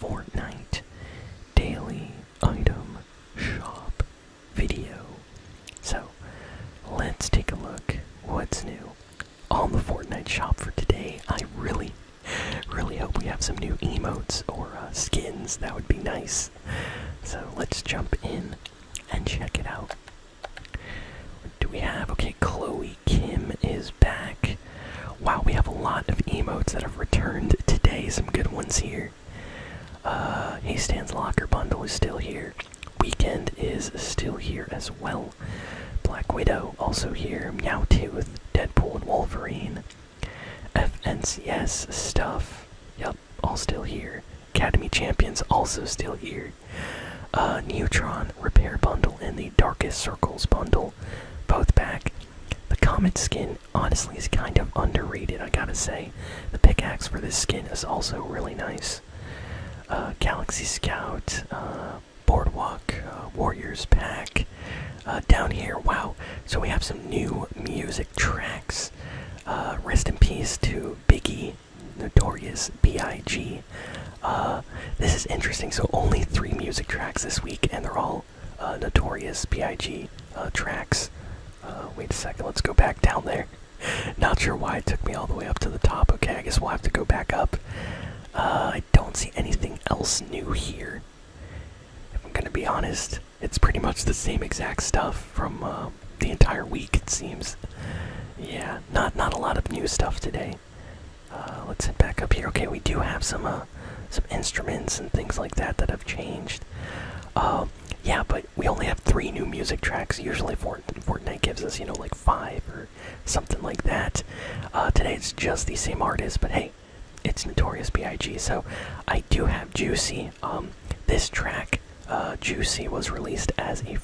Fortnite Daily Item Shop video. So let's take a look what's new on the Fortnite shop for today. I really, really hope we have some new emotes or uh, skins. That would be nice. So let's jump in and check it out. do we have? Okay, Chloe Kim is back. Wow, we have a lot of emotes that have returned today. Some good ones here. Uh, hey Locker Bundle is still here. Weekend is still here as well. Black Widow also here. Meowtooth, Deadpool, and Wolverine. FNCS stuff. Yep, all still here. Academy Champions also still here. Sorry. Uh, Neutron Repair Bundle and the Darkest Circles Bundle, both back. The Comet skin honestly is kind of underrated, I gotta say. The pickaxe for this skin is also really nice. Uh, Galaxy Scout, uh, Boardwalk, Warriors Pack. down here, wow. So we have some new music tracks. rest in peace to Biggie. Notorious B.I.G. Uh, this is interesting. So only three music tracks this week, and they're all uh, Notorious B.I.G. Uh, tracks. wait a second. Let's go back down there. Not sure why it took me all the way up to the top. Okay, I guess we'll have to go back up. I don't see anything else new here. If I'm gonna be honest, it's pretty much the same exact stuff from the entire week it seems. Yeah, not not a lot of new stuff today. Uh, let's head back up here. Okay, we do have some uh, some instruments and things like that that have changed. Um, yeah, but we only have three new music tracks. Usually, Fortnite gives us you know like five or something like that. Uh, today it's just the same artists. but hey, it's Notorious B.I.G. So I do have Juicy. Um, this track, Juicy, was released as a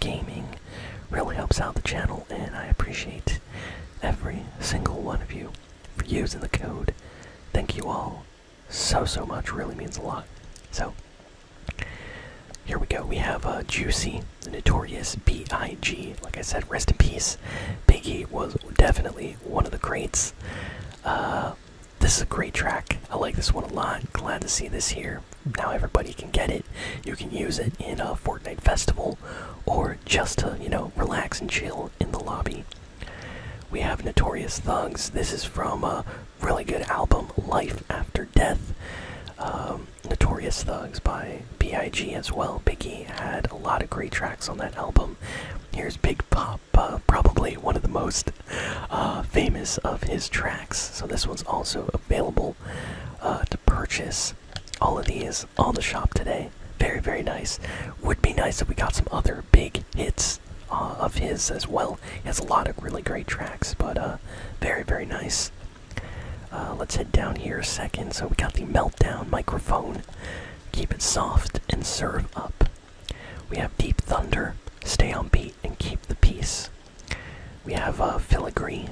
gaming really helps out the channel, and I appreciate every single one of you for using the code. Thank you all so so much. Really means a lot. So here we go. We have a uh, Juicy, notorious B.I.G. Like I said, rest in peace. Biggie was definitely one of the greats. Uh, this is a great track. I like this one a lot. Glad to see this here. Now everybody can get it. You can use it in a Fortnite festival or just to, you know, relax and chill in the lobby. We have Notorious Thugs. This is from a really good album, Life After Death. Um, Notorious Thugs by B.I.G. as well. Biggie had a lot of great tracks on that album. Here's Big Pop probably one of the most uh, famous of his tracks. So this one's also available uh, to purchase. All of these all to shop today. Very, very nice. Would be nice if we got some other big hits uh, of his as well. He has a lot of really great tracks, but very, very nice. let's head down here a second. So we got the meltdown microphone. Keep it soft and serve up. We have deep thunder. Stay on beat and keep the peace. We have a uh, filigree,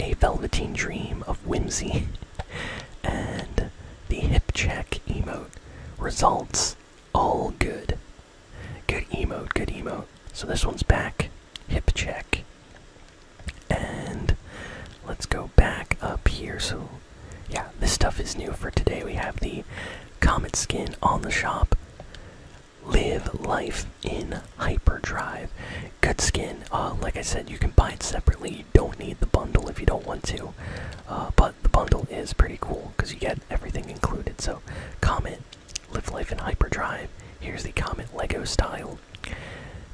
a velveteen dream of whimsy, and the hip check emote. Results all good. Good emote, good emote. So this one's back. Hip check. And let's go back up here. So, yeah, this stuff is new for today. We have the Comet skin on the shop. Live life in hyperdrive. Good skin. Uh, like I said, you can buy it separately. You don't need the bundle if you don't want to. Uh, but the bundle is pretty cool because you get everything included. So, Comet, Live Life in Hyperdrive. Here's the Comet Lego style.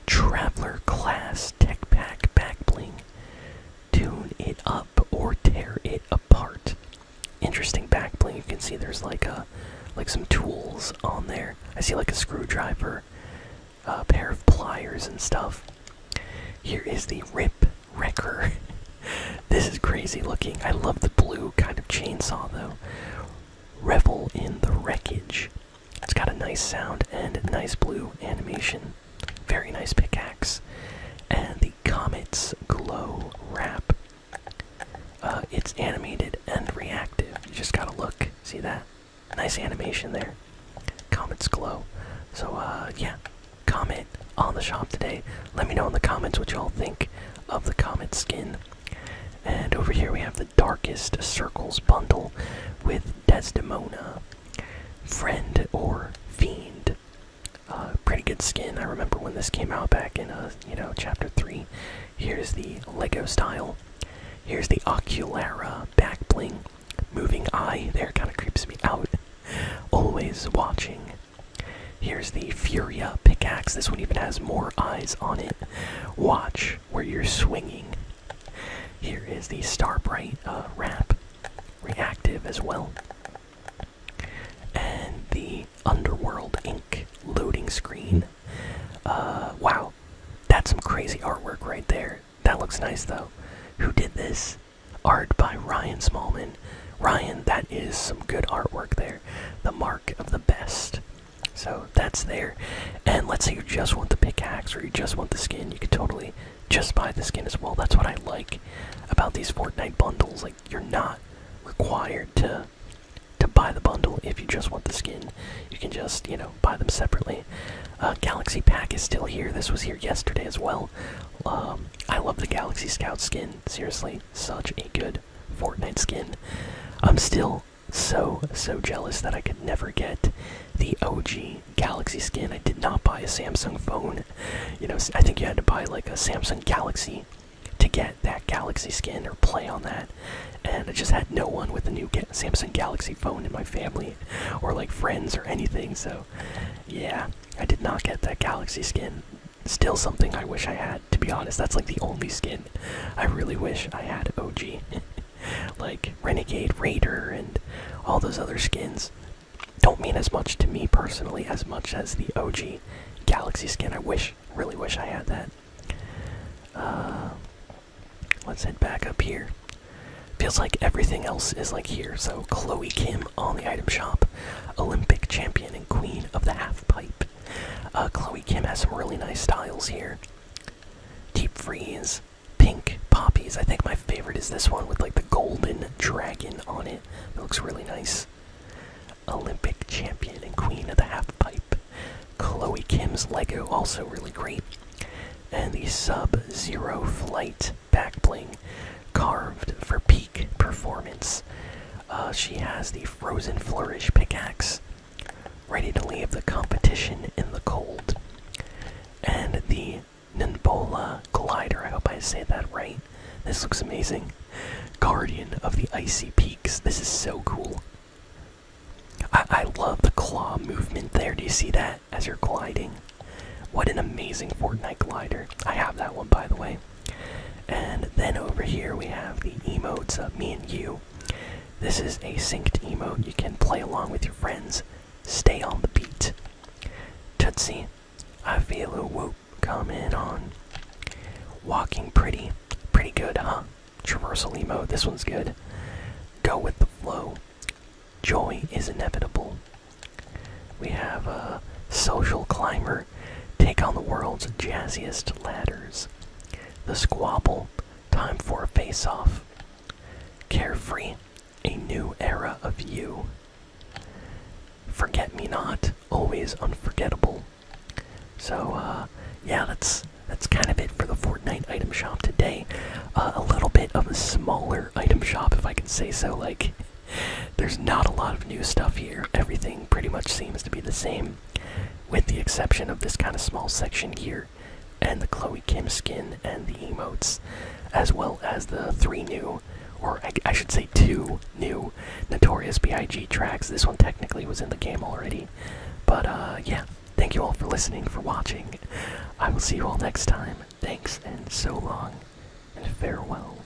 Traveler Class Tech Pack Back Bling. Tune it up or tear it apart. Interesting back You can see there's like a like some tools on there. I see like a screwdriver, a pair of pliers and stuff. Here is the Rip Wrecker. this is crazy looking. I love the blue kind of chainsaw though. Revel in the wreckage. It's got a nice sound and nice blue animation. Very nice pickaxe. And the Comet's Glow Wrap. Uh, it's animated and reactive. You just gotta look. See that? Nice animation there. Comet's Glow. So, uh, yeah. Comment on the shop today. Let me know in the comments what y'all think of the Comet skin. And over here we have the Darkest Circles bundle with Desdemona Friend or Fiend. Uh, pretty good skin. I remember when this came out back in, uh, you know, chapter 3. Here's the Lego style. Here's the Oculara back bling. Moving eye there kind of creeps me out. Always watching. Here's the Furia pickaxe. This one even has more eyes on it. Watch where you're swinging. Here is the Starbright uh, Wrap, reactive as well. And the Underworld Ink loading screen. Uh, wow, that's some crazy artwork right there. That looks nice though. Who did this? Art by Ryan Smallman. Ryan, that is some good artwork there. The mark of the best. So that's there. And let's say you just want the pickaxe or you just want the skin, you can totally just buy the skin as well. That's what I like about these Fortnite bundles. Like you're not required to to buy the bundle if you just want the skin. You can just, you know, buy them separately. Uh, Galaxy Pack is still here. This was here yesterday as well. Um, I love the Galaxy Scout skin. Seriously, such a good Fortnite skin. I'm still so, so, jealous that I could never get the OG Galaxy skin. I did not buy a Samsung phone. You know, I think you had to buy like a Samsung Galaxy to get that Galaxy skin or play on that. And I just had no one with a new Samsung Galaxy phone in my family or like friends or anything. So, yeah, I did not get that Galaxy skin. Still something I wish I had, to be honest. That's like the only skin I really wish I had OG. like Renegade Raider and all those other skins don't mean as much to me personally as much as the OG Galaxy skin. I wish, really wish I had that. Uh, let's head back up here. Feels like everything else is like here. So Chloe Kim on the item shop, Olympic champion and queen of the half pipe. Uh, Chloe Kim has some really nice styles here. Deep Freeze, Pink Poppies. I think my favorite is this one with like the golden dragon on it. It looks really nice. Olympic champion and queen of the half pipe. Chloe Kim's Lego, also really great. And the Sub Zero Flight backbling, carved for peak performance. Uh, she has the Frozen Flourish pickaxe, ready to leave the competition in the cold. And the Nimbola Glider, I hope I say that right. This looks amazing. Guardian of the Icy Peaks. This is so cool. I, I love the claw movement there. Do you see that as you're gliding? What an amazing Fortnite glider. I have that one, by the way. And then over here we have the emotes of me and you. This is a synced emote you can play along with your friends. Stay on the beat. Tootsie, I feel a whoop in on. Walking pretty. Pretty good, huh? Traversal emote, this one's good. Go with the flow. Joy is inevitable. We have a social climber take on the world's jazziest ladders. The Squabble, time for a face-off. Carefree, a new era of you. Forget Me Not, always unforgettable. So, uh, yeah, that's that's kind of it for the Fortnite item shop today. Uh, a little bit of a smaller item shop, if I can say so. Like, there's not a lot of new stuff here. Everything pretty much seems to be the same with the exception of this kind of small section here and the Chloe Kim skin and the emotes, as well as the three new, or I, should say two new, Notorious B.I.G. tracks. This one technically was in the game already. But uh, yeah, thank you all for listening, for watching. I will see you all next time. Thanks, and so long, and farewell.